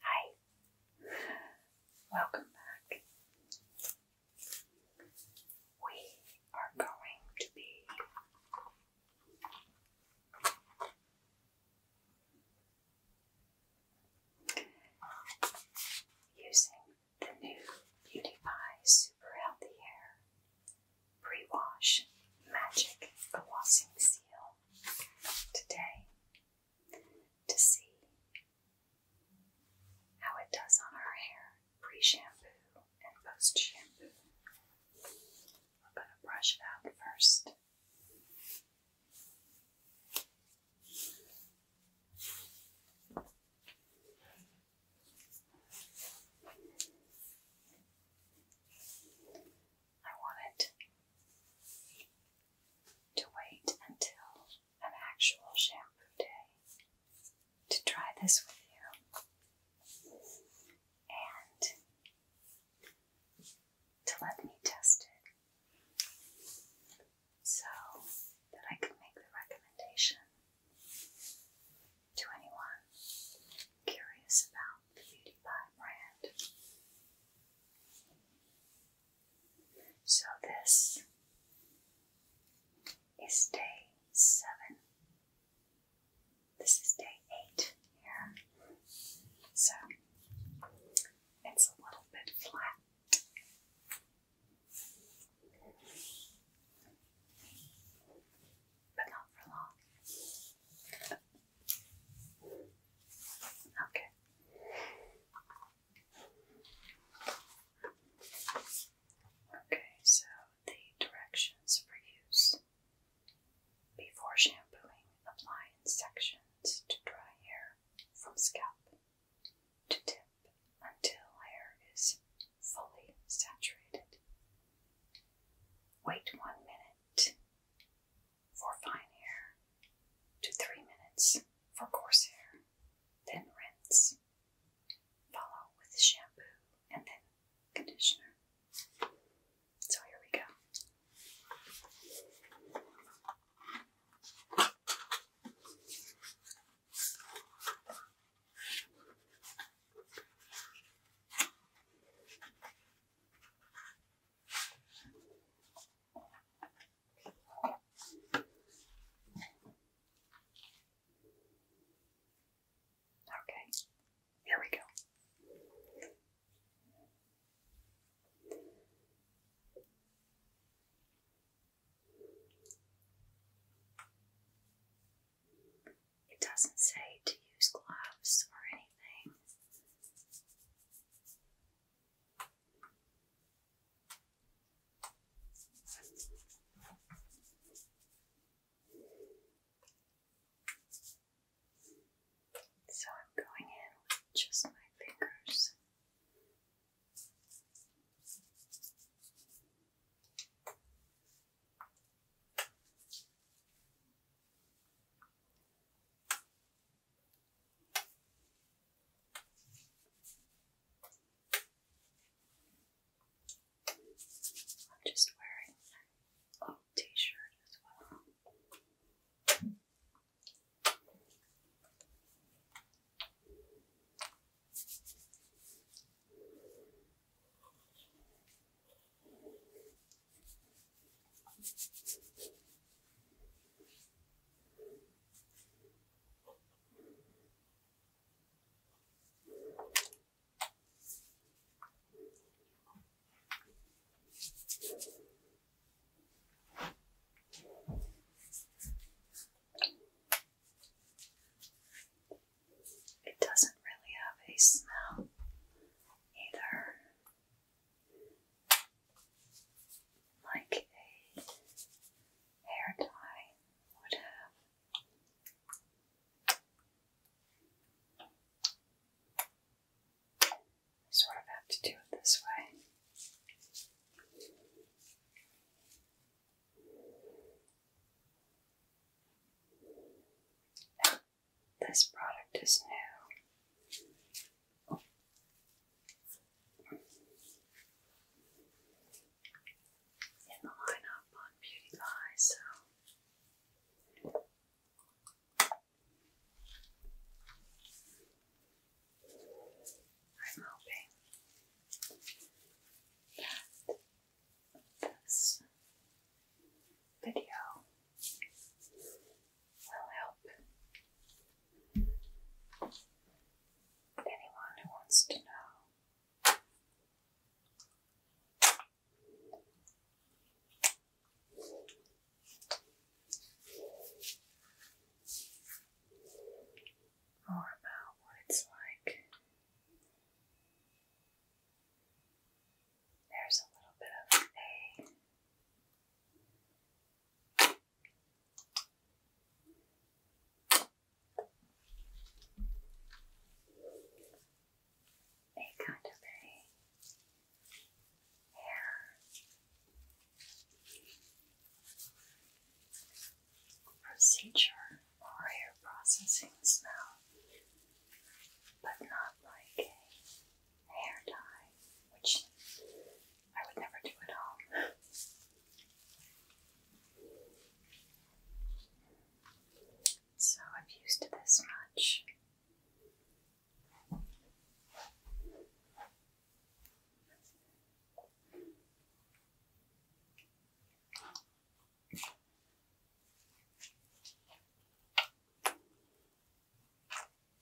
Hi, welcome back. We are going to be using the new Beauty Pie Super Healthy Hair Pre Wash Magic Glossing Seal today to see how it does on our hair pre-shampoo and post-shampoo. I'm going to brush it out first. I wanted to wait until an actual shampoo day to try this with you and to let me test it so that I can make the recommendation to anyone curious about the Beauty Pie brand so this is day seven. This is day eight here. So it's a little bit flat. But not for long. Okay. Okay, so the directions for use before shampooing, apply in sections to dry hair from scalp to tip until hair is fully saturated. Wait one minute for fine hair to three minutes for coarse hair, then rinse. Follow with shampoo and then conditioner. So here we go. Okay, here we go. It doesn't say to use gloves or anything. So I'm going in with just my fingers. I'm just wearing a t shirt as well. It doesn't really have a smell either like a hair tie would have. sort of have to do it this way. This product is new. In the lineup on Beauty so. I'm hoping that this video will help anyone who wants to know. More about what it's like. There's a little bit of a a kind of hair procedure or hair processing smell, but not like hair dye, which I would never do at all. So I've used this much.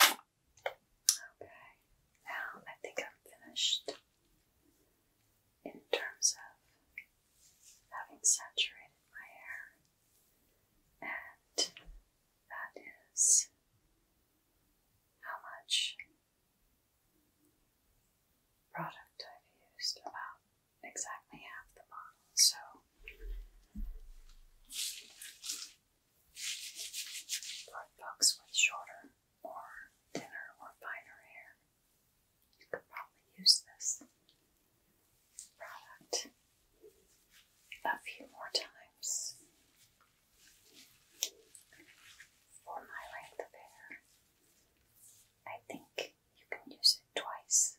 Okay, now I think I'm finished in terms of having saturated my hair, and that is how much product I've used about exactly half the bottle. So for folks with shorter or thinner or finer hair, you could probably use this product a few more times. For my length of hair, I think you can use it twice.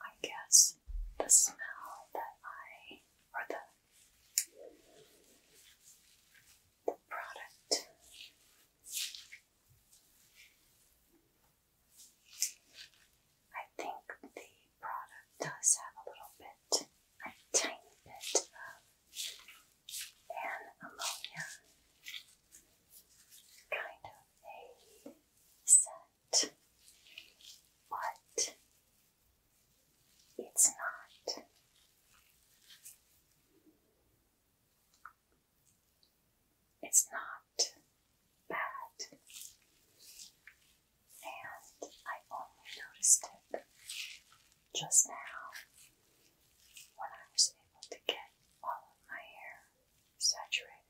I guess the smell that I, or the, the product I think the product does have a little bit, a tiny bit of an ammonia kind of a scent, but it's not. It's not bad, and I only noticed it just now when I was able to get all of my hair saturated.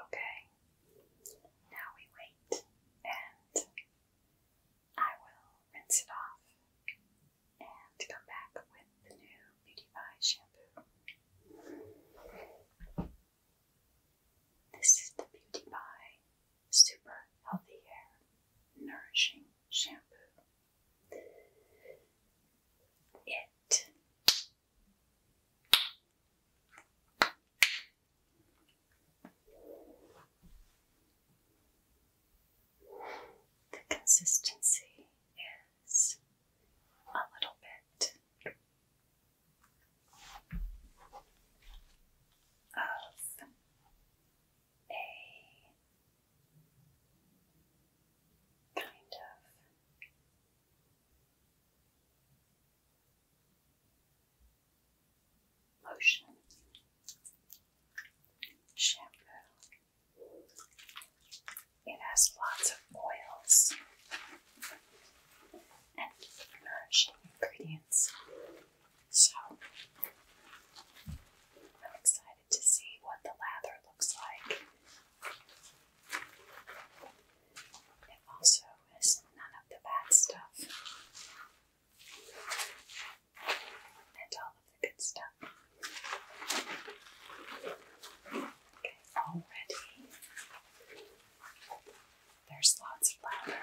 Okay, now we wait and I will rinse it off and come back with the new Beautify shampoo. This is the Beautify Super Healthy Hair Nourishing Shampoo. It the consistency is a little bit of a kind of Lotion, shampoo, it has lots of oils and nourishing ingredients. So I'm excited to see what the lather looks like. It also is none of the bad stuff and all of the good stuff. Okay, all ready. There's lots of flour.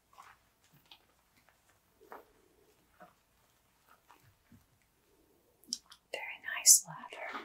Very nice ladder.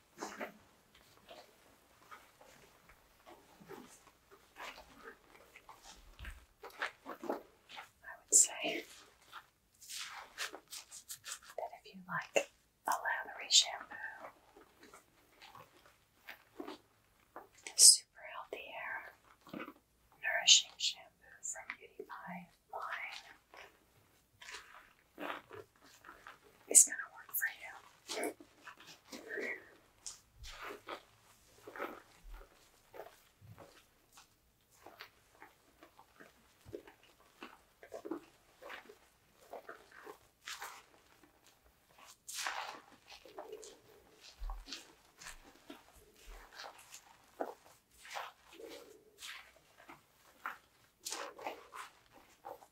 I would say that if you like a lavatory shampoo, super healthy hair, nourishing shampoo from Beauty by Line. It's going to work for you.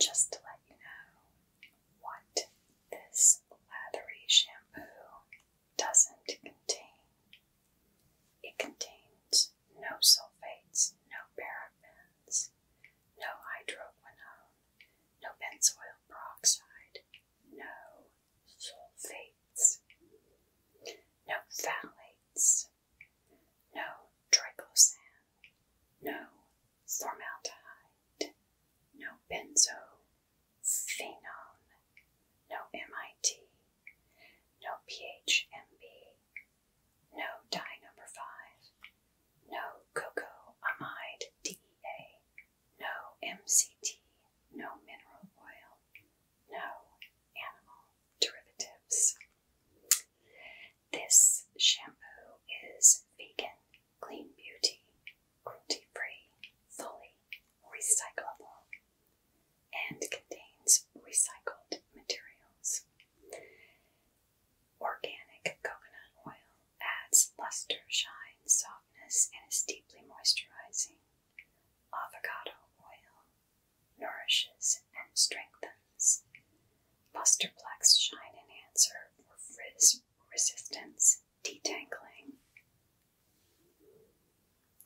Just to let you know what this lathery shampoo doesn't contain it contains no sulfates, no parabens, no hydroquinone, no benzoyl peroxide, no sulfates, no phthalates, no triclosan, no formaldehyde, no benzophenone, no MIT, no PHMB, no dye number five. No cocoa amide DEA. No MCT. No mineral oil. No animal derivatives. This shampoo is vegan, clean beauty, cruelty free, fully recyclable, and contains recycled materials. Organic coconut oil adds luster, shine, softness, and is deeply moisturizing. Avocado oil nourishes and strengthens. Lusterplex shine enhancer for frizz resistance, detangling.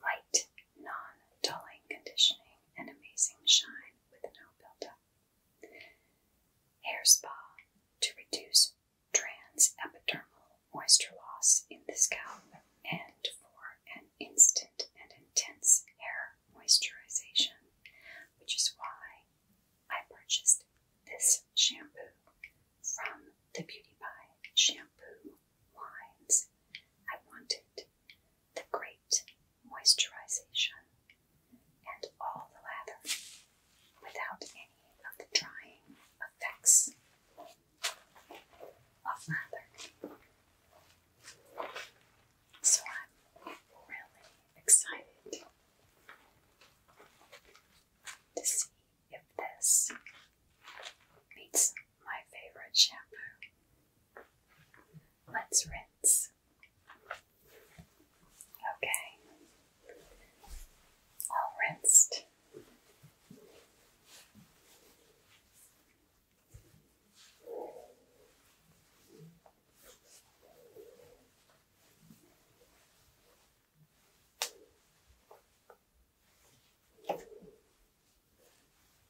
Light, non dulling conditioning, and amazing shine with no buildup. Hair spa to reduce trans epidermal moisture loss in the scalp and for an instant and intense hair moisturization, which is why I purchased this shampoo from the Beauty by Shampoo lines. I wanted the great moisturization, and all the lather without any of the drying effects of lather. So I'm really excited to see if this meets my favorite shampoo. Let's rinse. Okay. All rinsed.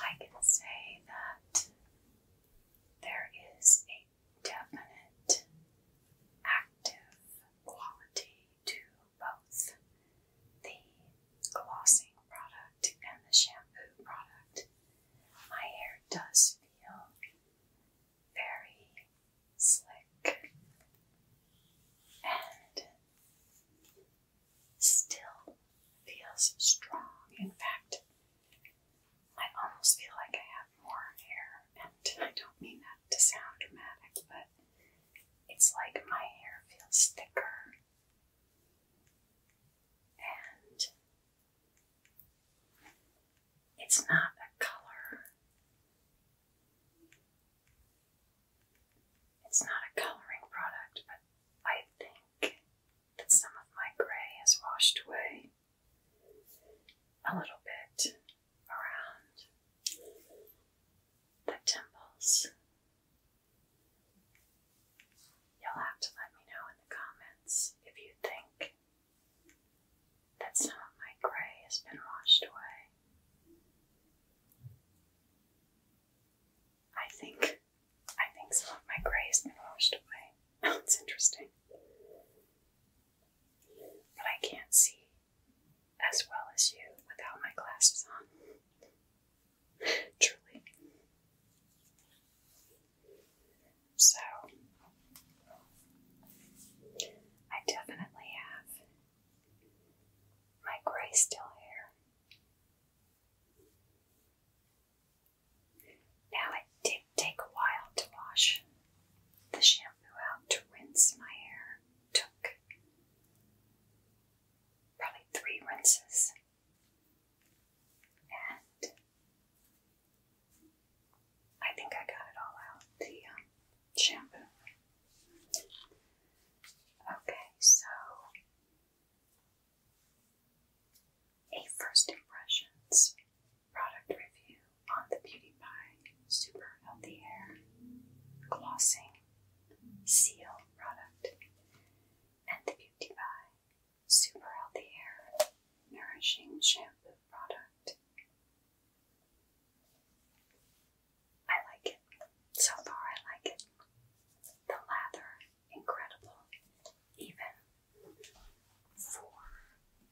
I can say that there is a definite active quality to both the glossing product and the shampoo product. My hair does feel very slick and still feels strong. In fact, I almost feel like I have more hair, and I don't mean that to sound dramatic, but it's like my hair feels thicker and it's not a color. It's not a coloring product, but I think that some of my gray has washed away a little bit around the temples. You'll have to let me know in the comments if you think that some of my grey has been washed away. I think I think some of my grey has been washed away. That's interesting. But I can't see as well as you without my glasses on. Truly. So, I definitely have my gray still here. Now, it did take a while to wash the shampoo out to rinse my hair. Took probably three rinses. And I think I got it all out. The um, shampoo. Okay, so a first impressions product review on the Beauty Pie Super Healthy Hair Glossing Seal product and the Beauty Pie super healthy hair, nourishing shampoo product. I like it. So far, I like it. The lather, incredible, even for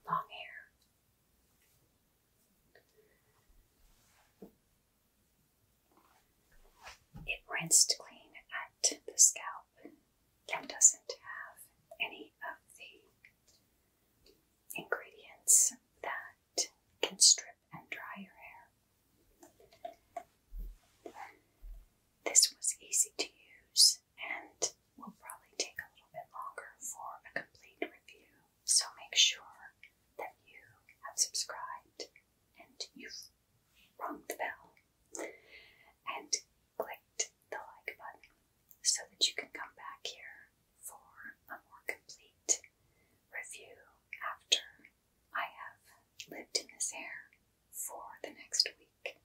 long hair. It rinsed clean at the scalp that doesn't have any of the ingredients that can strip and dry your hair. This was easy to use and will probably take a little bit longer for a complete review, so make sure that you have subscribed and you've rung the bell and clicked the like button so that you can come back here for a more complete review after I have lived in this air for the next week.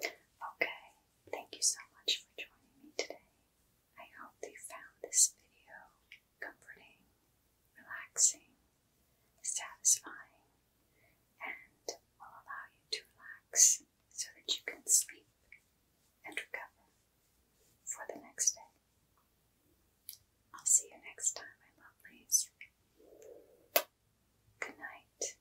Okay, thank you so much for joining me today. I hope you found this video comforting, relaxing, satisfying, and will allow you to relax so that you can sleep and recover for the next day. I'll see you next time, my lovelies. Good night.